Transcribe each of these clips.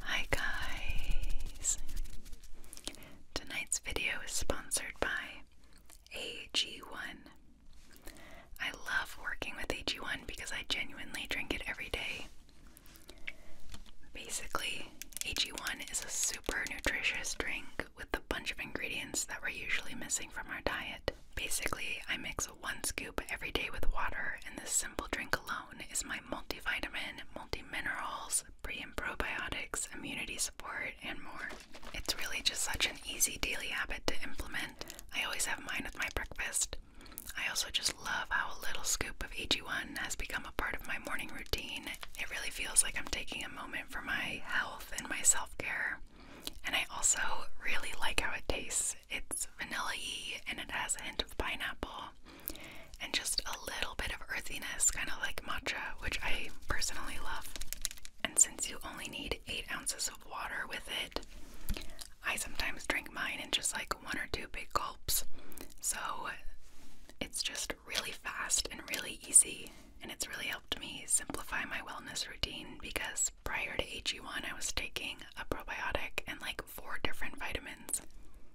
Hi guys! Tonight's video is sponsored by AG1. I love working with AG1 because I genuinely drink it every day. Basically, AG1 is a super nutritious drink with a bunch of ingredients that we're usually missing from our diet. Basically, I mix one scoop every day with water, and this simple drink alone is my multivitamin, multiminerals, pre and probiotics, immunity support, and more. It's really just such an easy daily habit to implement. I always have mine with my breakfast. I also just love how a little scoop of eg one has become a part of my morning routine. It really feels like I'm taking a moment for my health and my self care. And I also really like how it tastes. It's vanilla y and it has a hint of pineapple and just a little bit of earthiness, kind of like matcha, which I personally love. And since you only need eight ounces of water with it, I sometimes drink mine in just like one or two big gulps. So it's just really fast and really easy, and it's really helped me simplify my wellness routine because prior to AG1, I was taking a probiotic and like four different vitamins.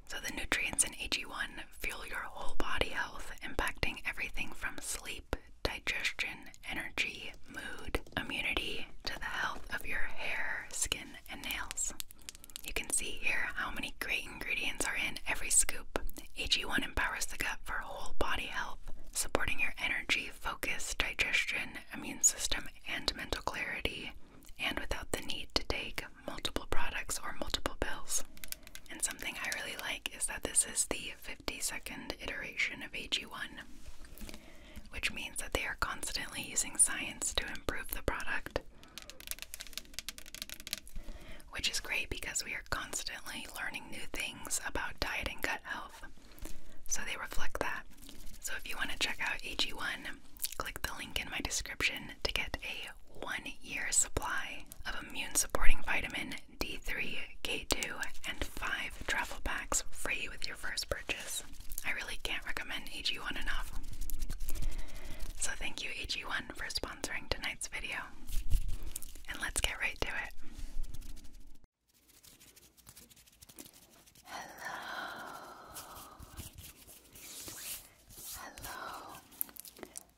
So the nutrients in AG1 fuel your whole body health, impacting everything from sleep, digestion, energy, mood, immunity, to the health of your hair, skin, and nails. You can see here how many great ingredients are in every scoop. AG1 empowers the gut for whole body health, supporting your energy, focus, digestion, immune system, and mental clarity and without the need to take multiple products or multiple pills. And something I really like is that this is the 52nd iteration of AG1, which means that they are constantly using science to improve the product. Which is great because we are constantly learning new things about diet and gut health. So they reflect that. So if you want to check out AG1, click the link in my description to get a one year supply of immune supporting vitamin D3, K2, and five travel packs free with your first purchase. I really can't recommend AG1 enough. So thank you, AG1, for sponsoring tonight's video. And let's get right to it. Hello.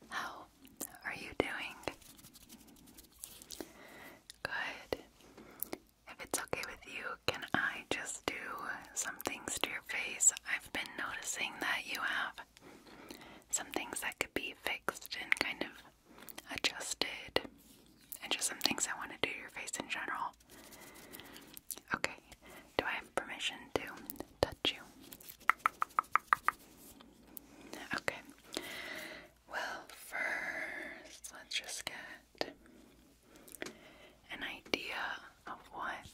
Hello. How are you doing? Good. If it's okay with you, can I just do some things to your face? I've been noticing that you have some things that could be fixed and kind of adjusted and just some things I want to do to your face in general. Okay, do I have permission to touch you? Okay, well, first, let's just get an idea of what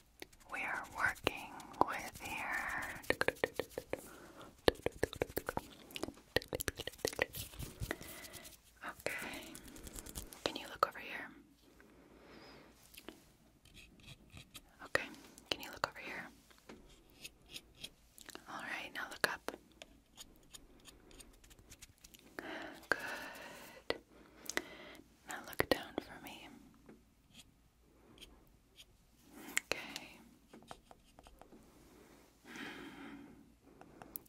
we are working with here. Okay. Can you look over here? Okay. Can you look over here? All right. Now look up. Good. Now look down for me. Okay.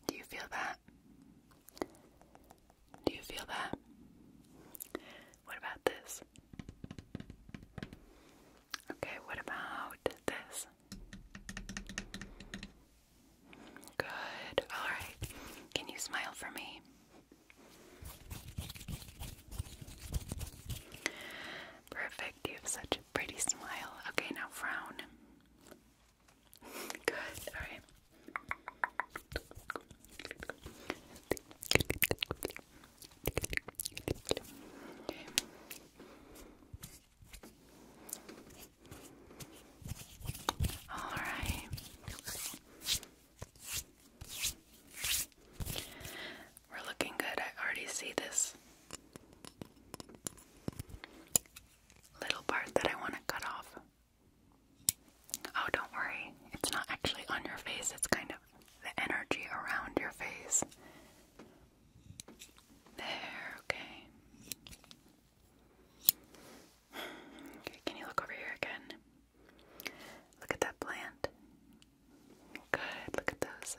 Do you feel that? Do you feel that? What about this? Okay, what about this? Good. All right. Can you smile for me? Perfect. You have such a pretty smile. Okay, now frown. Good, alright. All right. We're looking good. I already see this little part that I want to cut off. Oh, don't worry. It's not actually on your face, it's kind of the energy around your face. There, okay. Okay, can you look over here again? Look at that plant. Good, look at those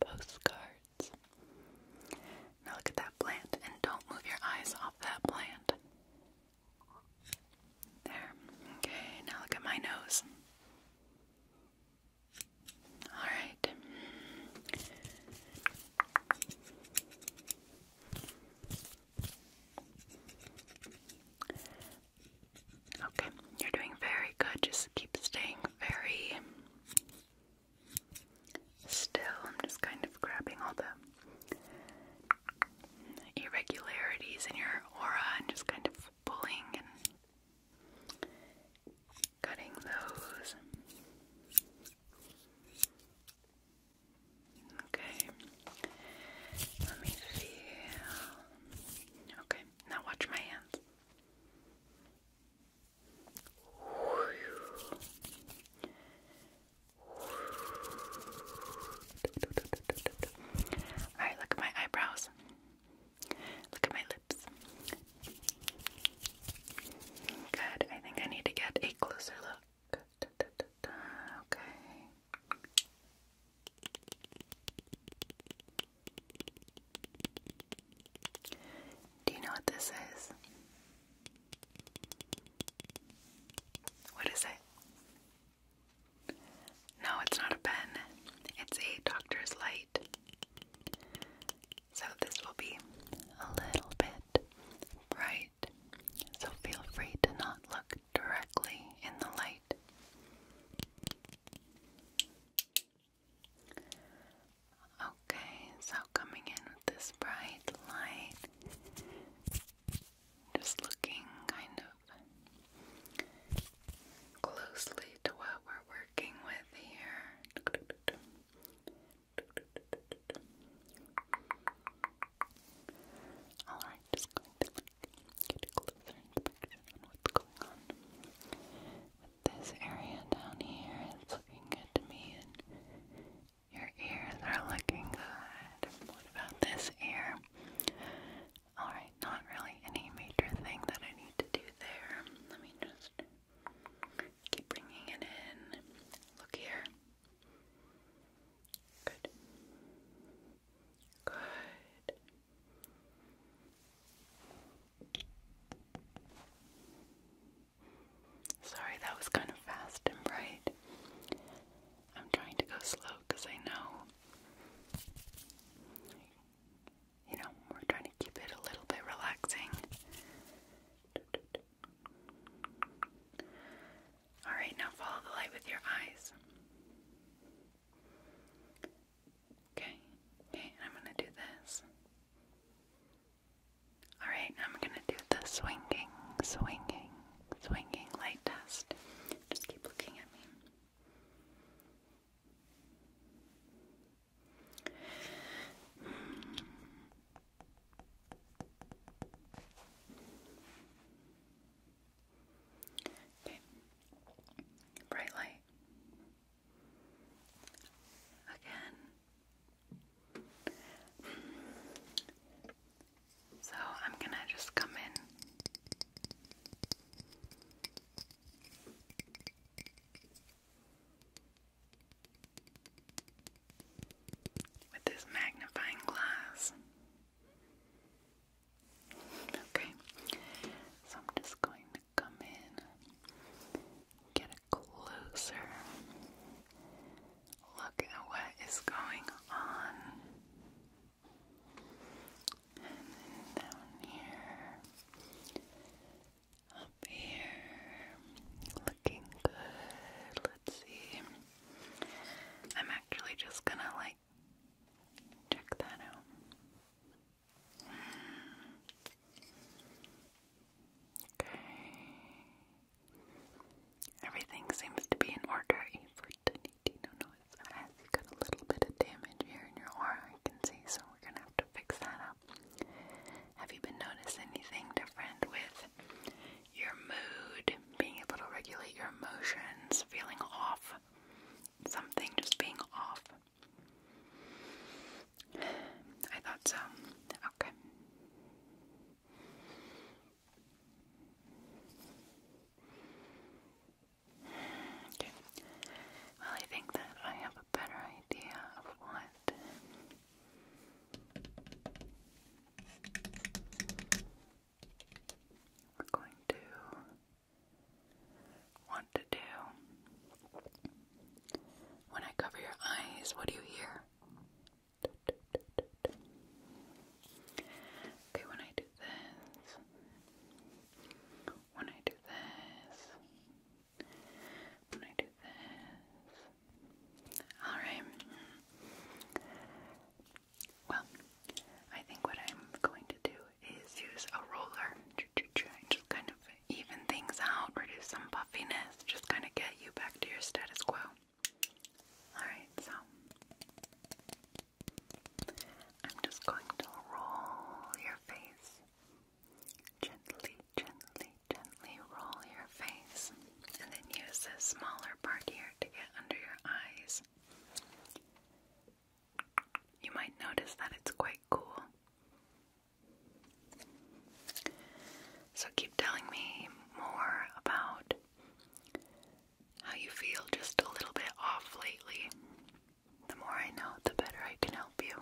postcards. Now look at that plant and don't move your eyes off that plant. There. Okay, now look at my nose. Alright. Okay, you're doing very good. Just keep staying very Still, I'm just kind of grabbing all the irregularities in your aura and just kind of pulling and cutting those. Okay. Let me feel. Okay, now watch my hands. Alright, look at my eyebrows. Look at my lips. Good. I think I need to get a closer look. Okay. Do you know what this is? What is it? No, it's not a pen. It's a doctor's light. So this will be a little bit bright. So feel free to not look directly in the light. Okay, so coming in with this bright light, just looking kind of closely to what we're working with here. Alright, just get a closer inspection on what's going on this area down here is looking good to me, and your ears are looking good. What about this ear? Alright, not really any major thing that I need to do there. Let me just keep bringing it in. Look here. Good. Good. Sorry, that was kind of fast and bright. I'm trying to go slow because I know, you know, we're trying to keep it a little bit relaxing. Alright, now follow the light with your eyes. Okay, okay, I'm gonna do this. Alright, I'm gonna do the swinging, swinging, swinging light test. Just keep looking at me. Hmm. Okay. Bright light again. So I'm gonna just come in. With this magnifying glass. Okay, so I'm just going come in, get a closer look at what is going on. down here, up here, looking good. Let's see. I'm actually just gonna like check that out. Okay. Everything seems to be in order for Tanitino noise. It has got a little bit of damage here in your aura, I can see, so we're gonna have to fix that up. Have you been noticing anything different with your mood, being able to regulate your emotions, feeling off? Something just being off. I thought so. Okay. Well, I think that I have a better idea of what we're going to want to do. When I cover your eyes, what do you hear? Okay, when I do this, when I do this, when I do this. Alright. Well, I think what I'm going to do is use a roller. just kind of even things out, reduce some puffiness, just kind of get you back to your status quo. Alright, so I'm just going to roll your face. Gently, gently, gently roll your face. And then use this smaller part here to get under your eyes. You might notice that it's quite cool. So keep telling me more about how you feel just a little bit off lately. The more I know, the better I can help you.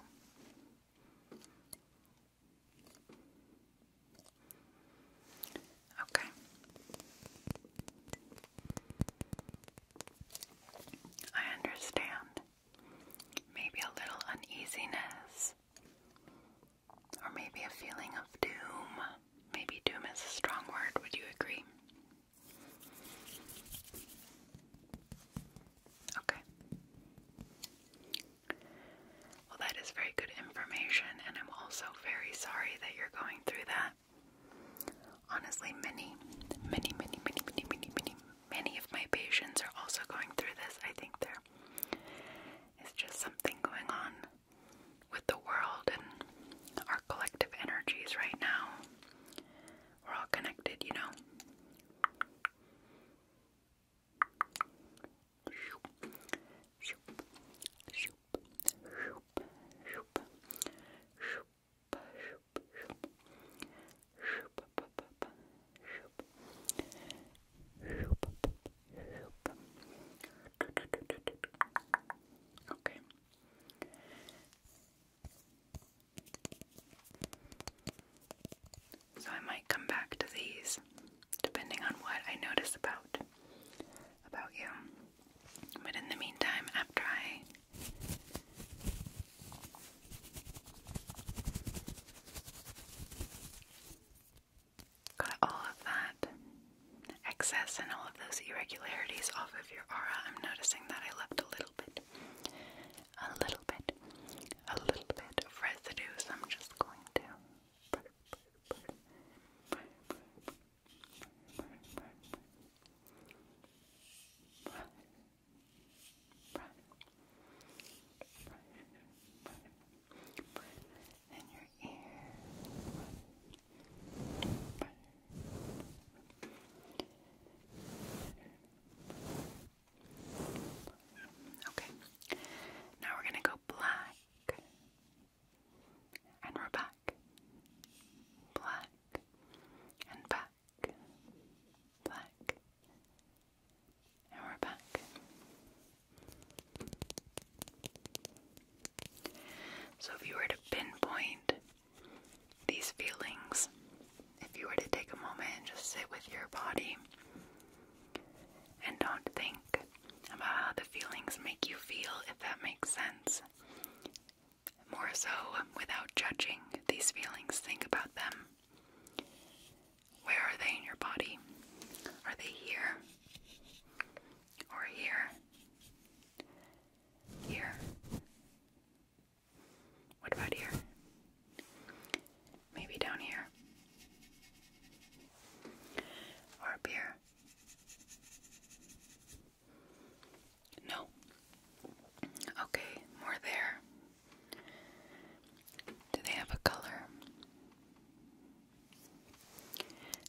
Okay. I understand maybe a little uneasiness, or maybe a feeling of doom. Maybe doom is a strong word, would you agree? Okay. Well, that is very good information, and I'm also very sorry that you're going through that. Honestly, many, many, many, many, many, many, many, many of my patients are also going through this. I think there is just something going on with the world and our collective energies right now. We're all connected, you know. Okay. So I might come back to these depending on what I notice about about you. But in the meantime, after I Got all of that excess and all of those irregularities off of your aura. I'm noticing that I left a little bit, a little bit, a little bit of residue, so I'm just going to brush, brush, and your ear, Okay, now we're gonna go black, and we're back, black, and back black, and we're back. So, if you were to pinpoint these feelings, if you were to take a moment and just sit with your body and don't think about how the feelings make you feel, if that makes sense, more so, without judging these feelings, think about them. Where are they in your body? Are they here? Or here? Here? What about here? Maybe down here? Or up here? No. Okay, more there. Do they have a color?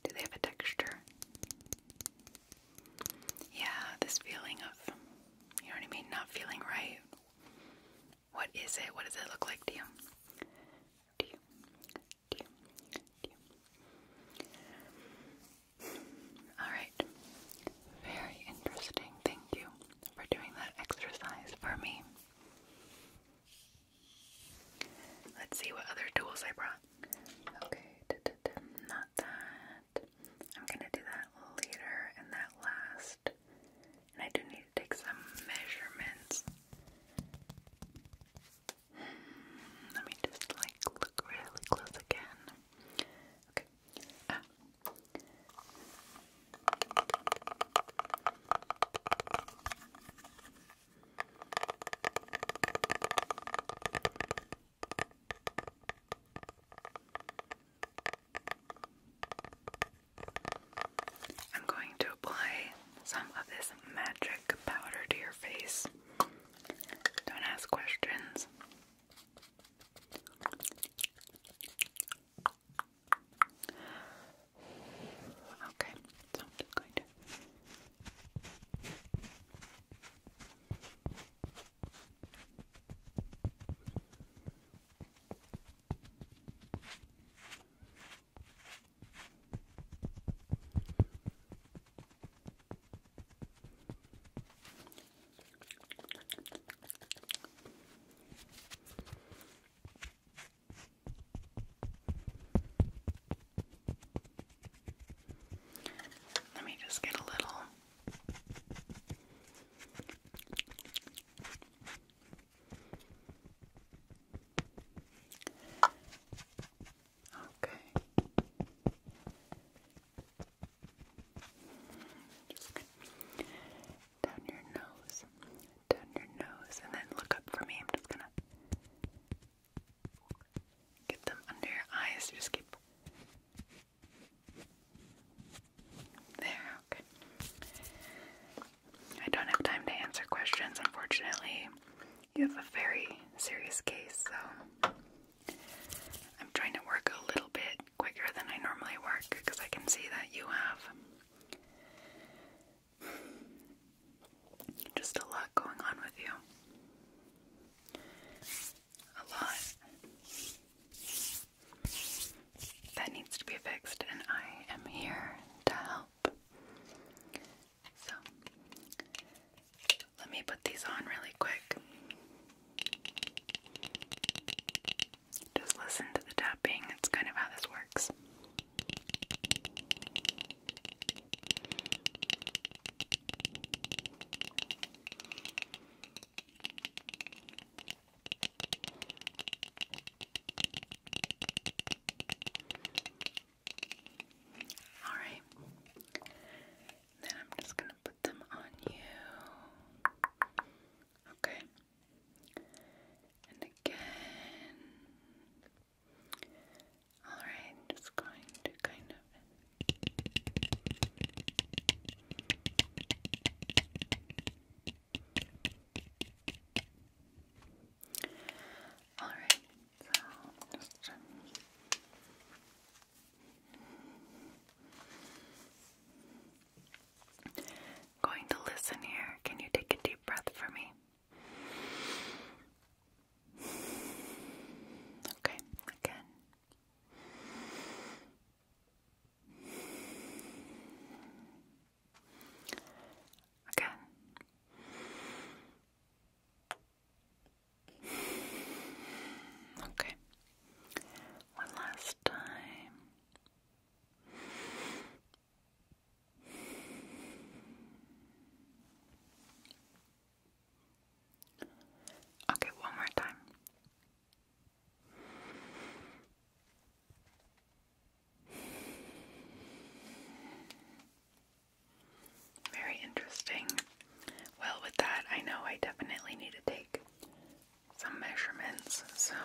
Do they have a texture? Yeah, this feeling of, you know what I mean, not feeling right. What is it? What does it look like to you? Alright. Very interesting. Thank you for doing that exercise for me. Let's see what other tools I brought. Okay, not that. I'm gonna do that later and that last. And I do need to take some measurements. Hmm, let me just like look really close again. Okay. Ah, I'm going to apply some of this magic powder to your face. Don't ask questions. Okay, so I'm just going to let me just get a little. Okay down your nose, down your nose, and then look up for me. I'm just gonna get them under your eyes. Just keep there. Okay. I don't have time to answer questions, unfortunately. You have a very serious case, so I'm trying to work a little bit quicker than I normally work because I can see that you have just a lot going on with you. A lot that needs to be fixed, and I am here to help. So, let me put these on really quick. Just listen to the tapping, That's kind of how this works. All right. Then I'm just going to them on you. Okay. And again. Alright, just going to kind of. Alright, so just Going to listen here. Can you take a deep breath for me? Okay, again. Again. Okay. One last time. Okay, one more time. Very interesting. Well, with that, I know I definitely need to take some measurements, so.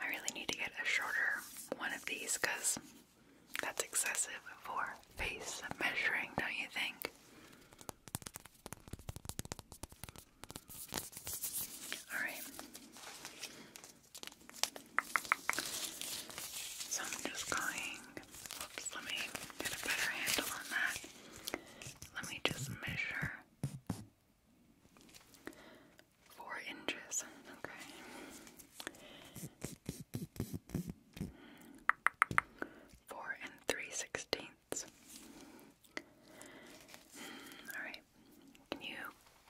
I really need to get a shorter one of these because that's excessive for face measuring, don't you think? Alright. So I'm just going. let me get a better handle on that. Let me just measure four inches. Okay. Four and three sixteenths. Hmm, Alright. Can you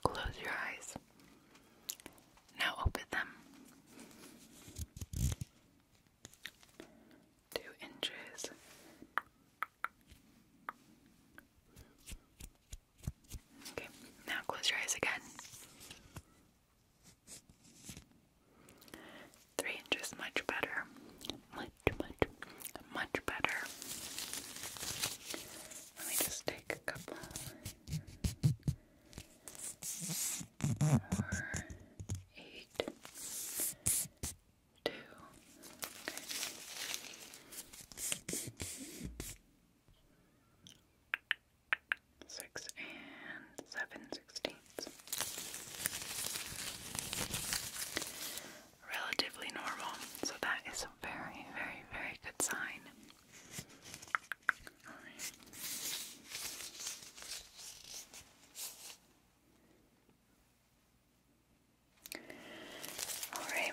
close your eyes? Now open them. Two inches. Okay, now close your eyes again. Three inches, much better. Much, much, much better. Let me just take a couple four, eight, two. Okay six and seven sixteenths. Relatively normal, so that is a very, very, very good sign. All right.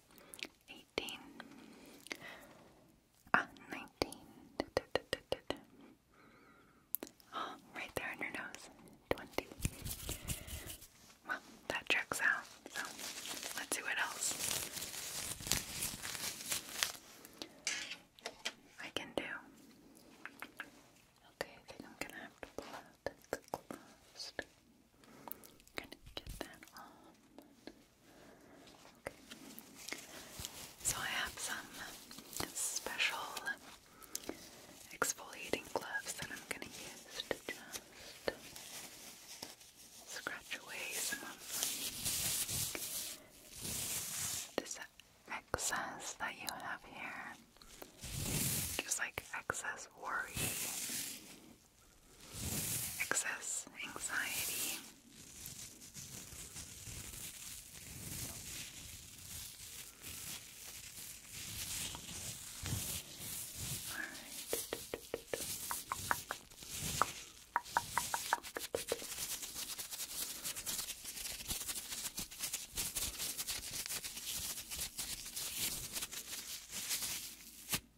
eighteen, ah, nineteen, da, oh, right there on your nose, twenty. Well, that checks out. So let's see what else I can do. Okay, I think I'm gonna have to pull out the gloves. So I have some special exfoliating gloves that I'm gonna use to just scratch away some of this excess that you have here. Just like excess worry excess anxiety.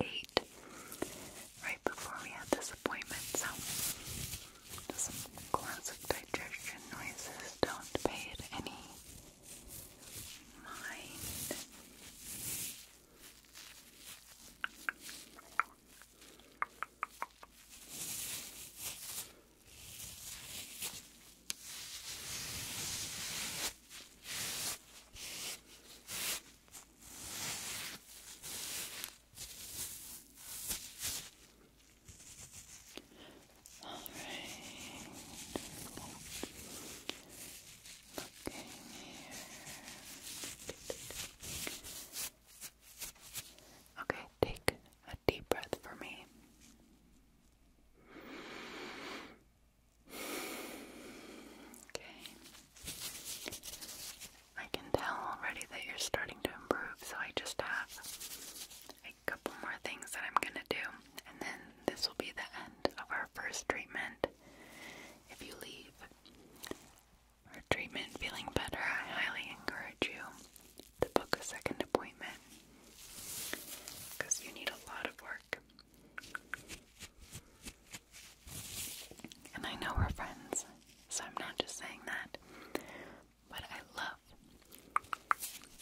ate right before we had this appointment, so some classic digestion noises. Don't pay it any mind. All right. Okay, take a deep breath for me. Okay. I can tell already that you're starting to improve, so I just have a couple more things that I'm gonna do, and then this will be the end of our first treatment. If you leave our treatment feeling better, I highly encourage you to book a second appointment because you need a lot of work. And I know we're friends, so I'm not just saying that. But I love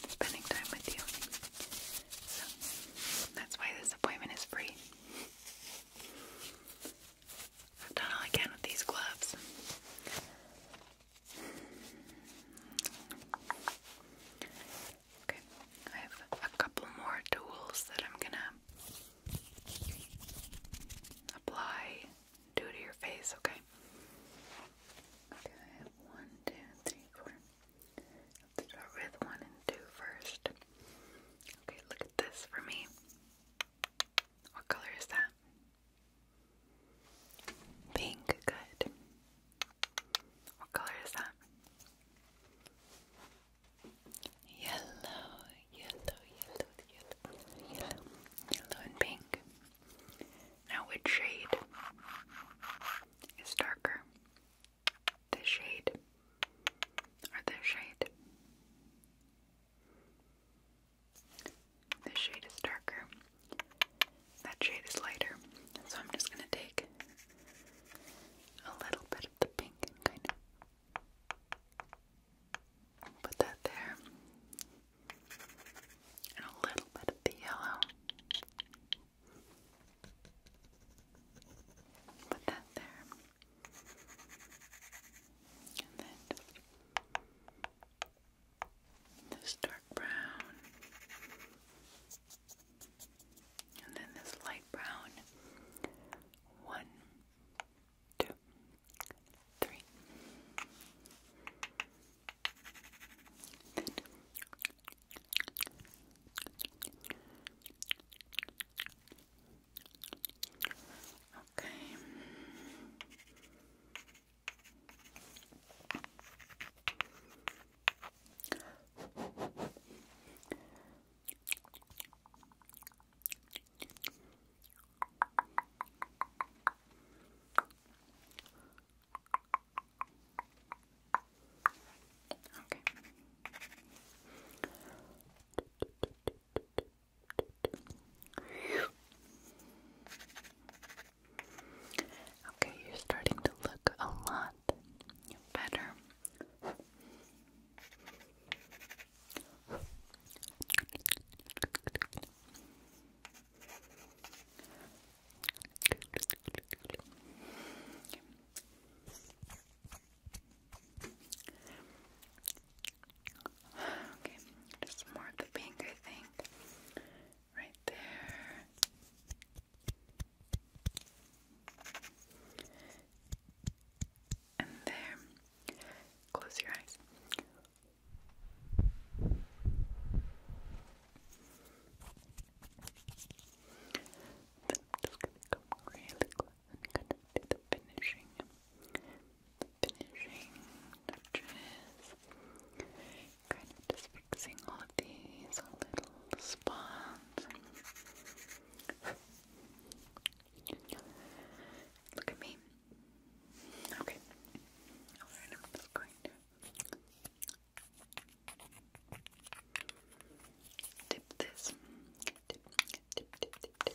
spending time with you. So that's why this appointment is free. I've done all I can with these gloves. Okay, I have a couple more tools that I'm gonna apply, do to your face, okay? Okay, I have one, two, three, four. Let's start with one and two first. Okay, look at this for me. What color is that? Pink, good. What color is that? Yellow, yellow, yellow, yellow, yellow, yellow and pink. Now which shade is darker? This shade or this shade? This shade is darker. That shade is lighter. So I'm just going to take a little bit of the pink and kind of put that there, and a little bit of the yellow. Put that there, and then this dark brown. And then this light brown. One, two, three. Okay. Okay. Okay, you're starting to look a lot that better. Okay, just more of the pink, I think. Right there. And there, close your eyes. Then I'm just gonna come really close and kind of do the finishing, finishing touches. Kind of just fixing all of these little spots. Look at me. Okay. dip this. Dip, dip, dip, dip, dip.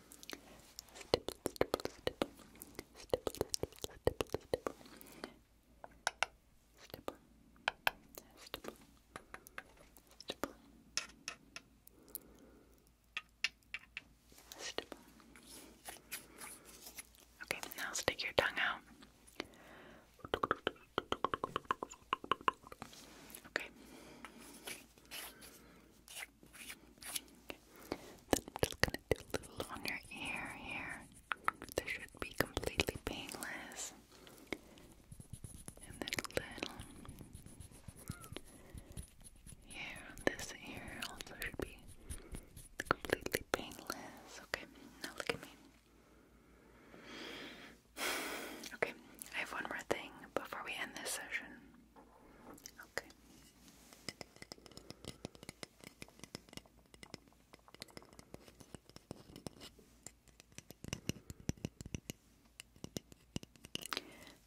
Stipple, stipple, stipple. Stipple, stipple, stipple, stipple. Stipple. Stipple. Stipple. Okay, now stick your tongue out. Okay. Then I'm just gonna do a little on your ear here. This should be completely painless. And then a little here on this ear also should be completely painless. Okay, now look at me. Okay, I have one more thing before we end this session. Okay,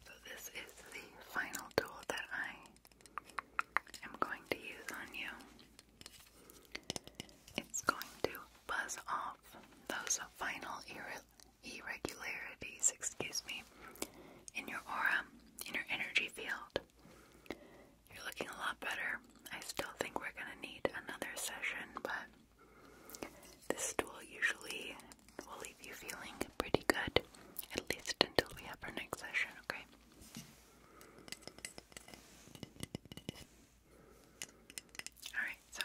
so this is the final tool that I am going to use on you. It's going to buzz off those final irregularities, excuse me, in your aura in your energy field. You're looking a lot better. I still think we're going to need another session, but this tool usually will leave you feeling pretty good, at least until we have our next session, okay? Alright, so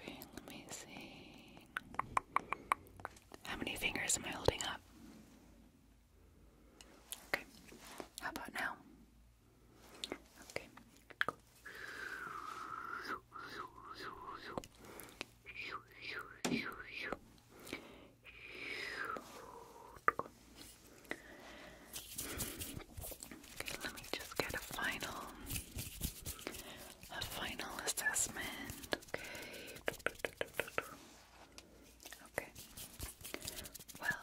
Okay, let me see. How many fingers am I holding up? Okay. How about now? Okay. Okay, let me just get a final a final assessment. Okay. Okay. Well,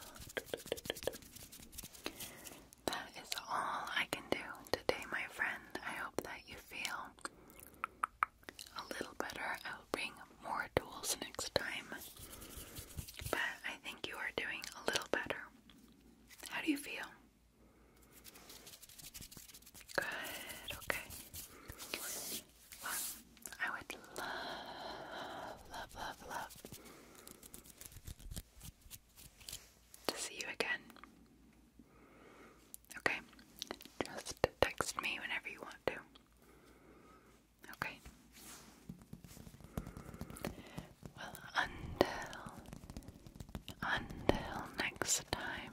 that is all I can do today, my friend. I hope that you feel a little better. I'll bring more tools next time. But I think you are doing a little better. How do you feel? Good, okay. Well, I would love, love, love, love to see you again. Okay, just text me whenever you want to. Okay. Well, until until next time.